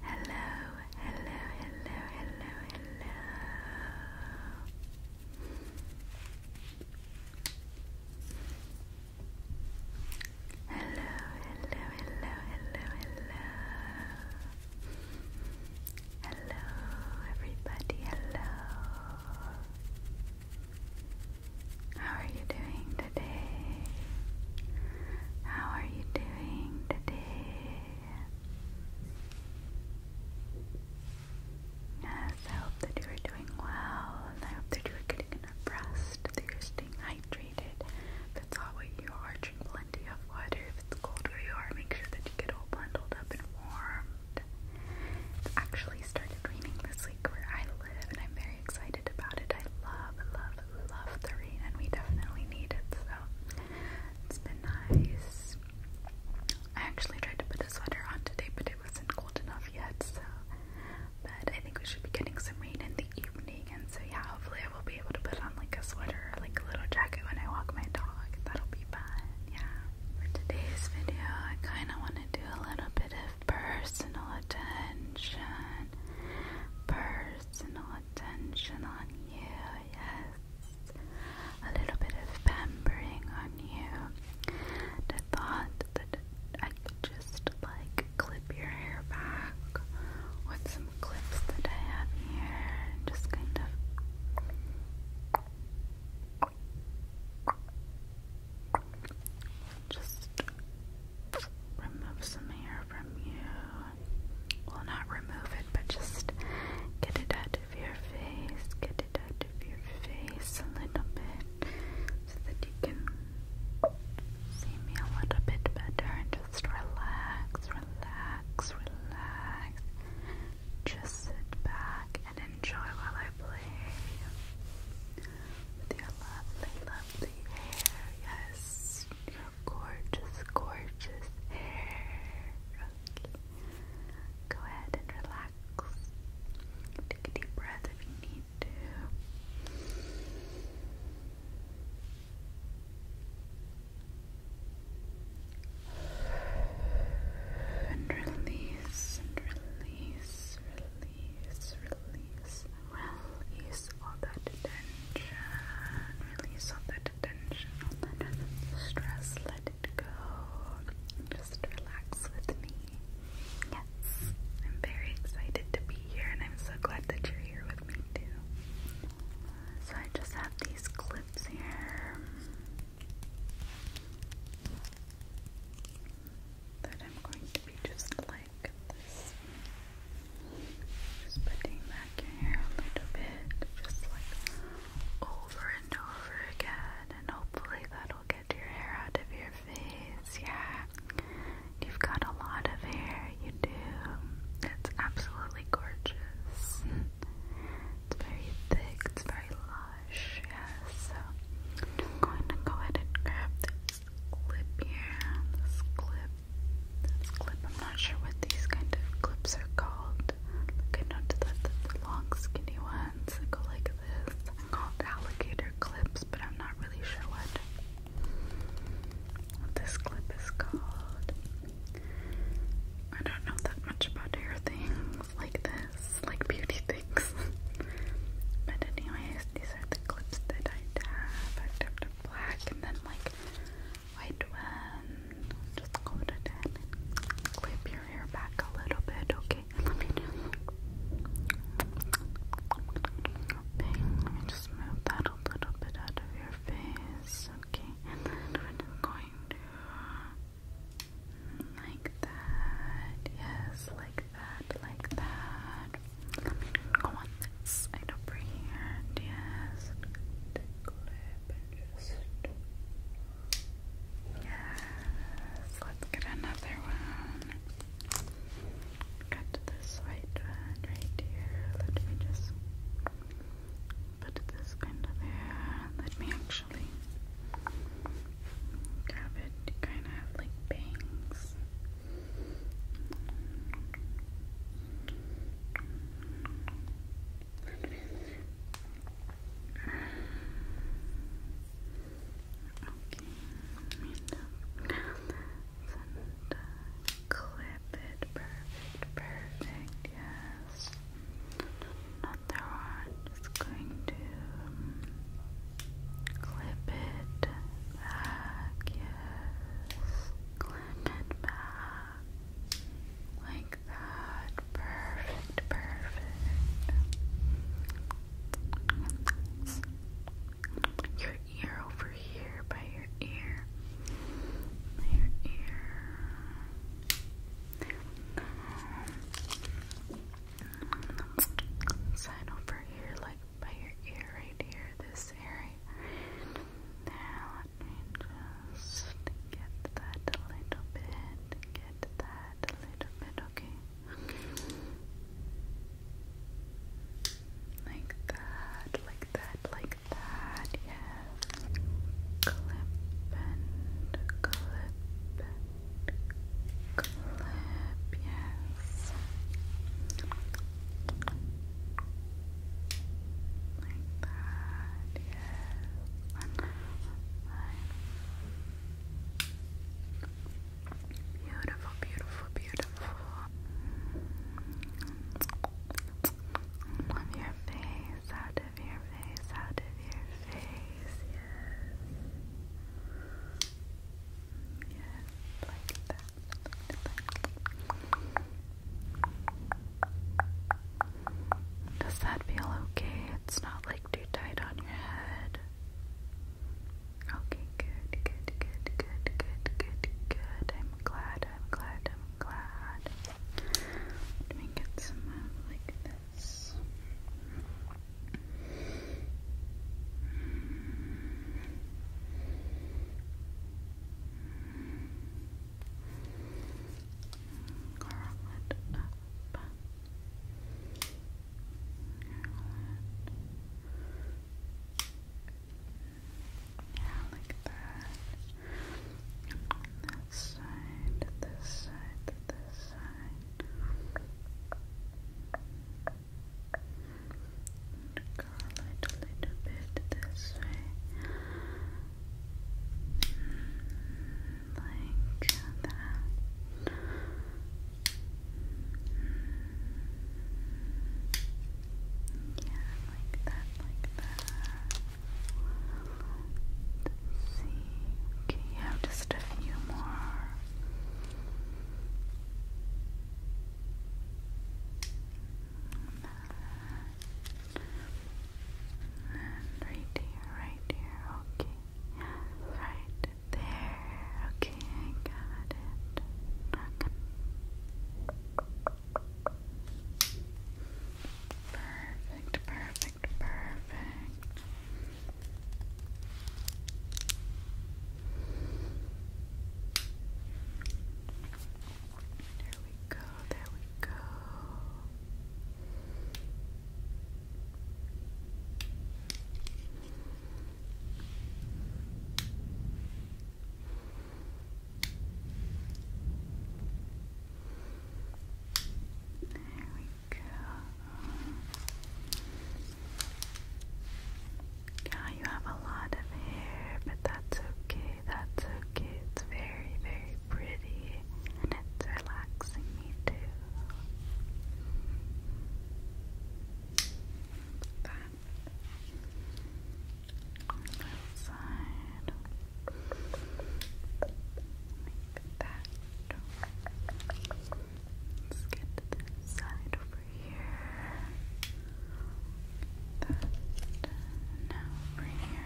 Hello, hello, hello, hello, hello. Hello, hello, hello, hello, hello. Hello, everybody, hello. How are you doing? today? How are you doing today? Yes, I hope that you are doing well, and I hope that you are getting enough rest, that you're staying hydrated. If it's hot where you are, drink plenty of water. If it's cold where you are, make sure that you get all bundled up and warmed. It's actually started raining this week where I I'm very excited about it. I love, love, love the rain, and we definitely need it, so it's been nice. I actually tried to put a sweater on today, but it wasn't cold enough yet, so. But I think we should be getting some rain in the evening, and so yeah, hopefully, I will be able to put on like a sweater like a little jacket when I walk my dog. That'll be fun, yeah. For today's video, I kind of want to do a little bit of personal attention, personal attention on you, yes, a little bit of pampering on you. And thought that I could just like clip your hair back with some clips that I have here just kind of. Just remove some hair from you. Well, not remove it, but just get it out of your face. Get it out of your face a little bit so that you can see me a little bit better and just relax, relax, relax. Just sit back and enjoy while I play with your lovely, lovely hair. Yes, gorgeous, gorgeous hair. Go ahead and relax. Take a deep breath if you need to. And release, and release, release, release, release all that tension, release all that tension, all that stress, let it go, just relax with me, yes, I'm very excited to be here and I'm so glad that you're here with me too, so I just have these clips here, that I'm going to be just like this. Just putting back your hair a little bit, just like over and over again, and hopefully that'll get your hair out of your face. Yeah, you've got a lot of hair, you do. It's absolutely gorgeous. It's very thick, it's very long blush, So I'm going to go ahead and grab this clip here. This clip. This clip. I'm not sure what these kind of clips are called. I noticed that the, long, skinny ones that go like this. They're called alligator clips, but I'm not really sure what, what this clip is called. I don't know that much about hair things like this, like beauty things. but anyways, these are the clips that I have. I've tapped a black and then like white one. Just go it in and clip your hair back a little bit, okay? okay, let me just move that a little bit out of your face, okay? we're going to like that. Yes, like that, like that. Let on this side over here. And yes. Let's get another one. Cut this white one right here. Let me just put this kind of there. Let me actually actually. Grab it, you kind of like bangs. Okay, clip it. Perfect, perfect, yes other one. Just going to um, clip it back. Yes, clip it back like that. Perfect, perfect. Your ear over here by your ear. By your ear. Sign over here, like by your ear, right here, this area. Now just get that little bit, get that little bit, okay? Like that, like that, like that, yes clip and clip and clip, yes. Like that, yes. Beautiful, beautiful, beautiful. Love your face out of your face, out of your face, yes. Yes, like that, Does that feel okay? It's not like too tight on your head. Okay, good, good, good, good, good, good, good. I'm glad, I'm glad, glad. Let me get some like this. Curl it up. Yeah, like that. That side, this side, this side. Curl a little bit this way. Like that. Yeah, like that, like that let see. Okay, you have just a few more. And right here, right here, okay. Right there, okay, I got it. Perfect, perfect, perfect. There we go, there we go. There we go. Yeah, you have a lot of hair, but that's okay. That's okay. It's very, very pretty, and it's relaxing me too. That side. Like that. Let's get to this side over here. Now over here.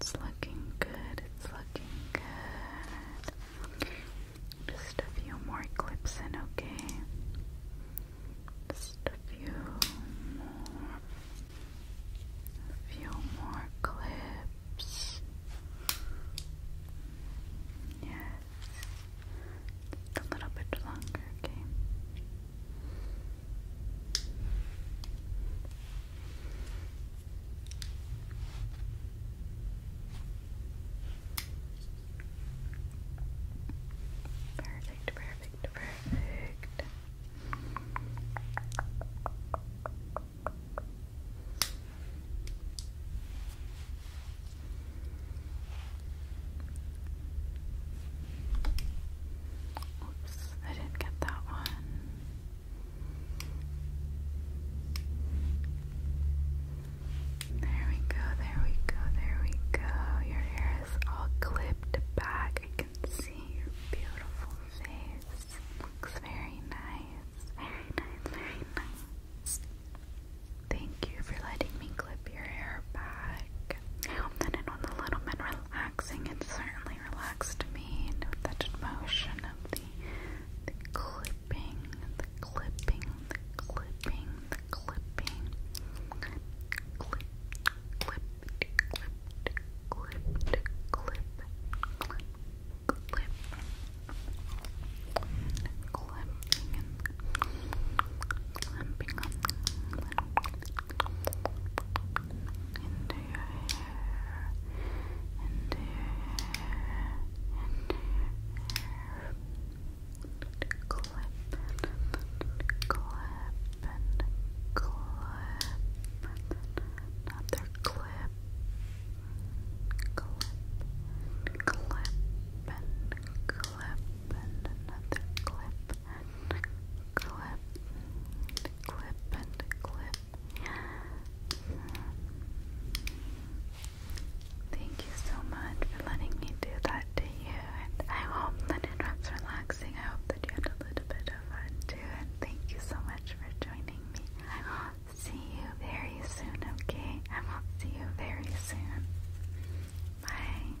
It's looking good. It's like. Just a few more clips in, okay? Just a few more. few more clips. Yes. a little bit longer, okay? Perfect, perfect, perfect. Oops, I didn't get that one. There we go, there we go, there we go. Your hair is all clipped back. I can see your beautiful face. Looks very nice. Very nice, very nice. Thank you for letting me clip your hair back. I hope that it was a little bit relaxing relaxing. It certainly relaxed me. Note that motion of the, clipping, the clipping, the clipping, the clipping. Clip, clip, clip, clip, clip, clip, Clipping clipping into your hair, into your hair, into your hair. Clip and clip and clip. Another clip. Clip, clip and clip and another clip clip, clip and clip. Thank you so much for letting me do that to you, and I hope that it was relaxing. I hope that you had a little bit of fun too, and thank you so much for joining me. I will see you very soon, okay? I will see you very soon. Bye.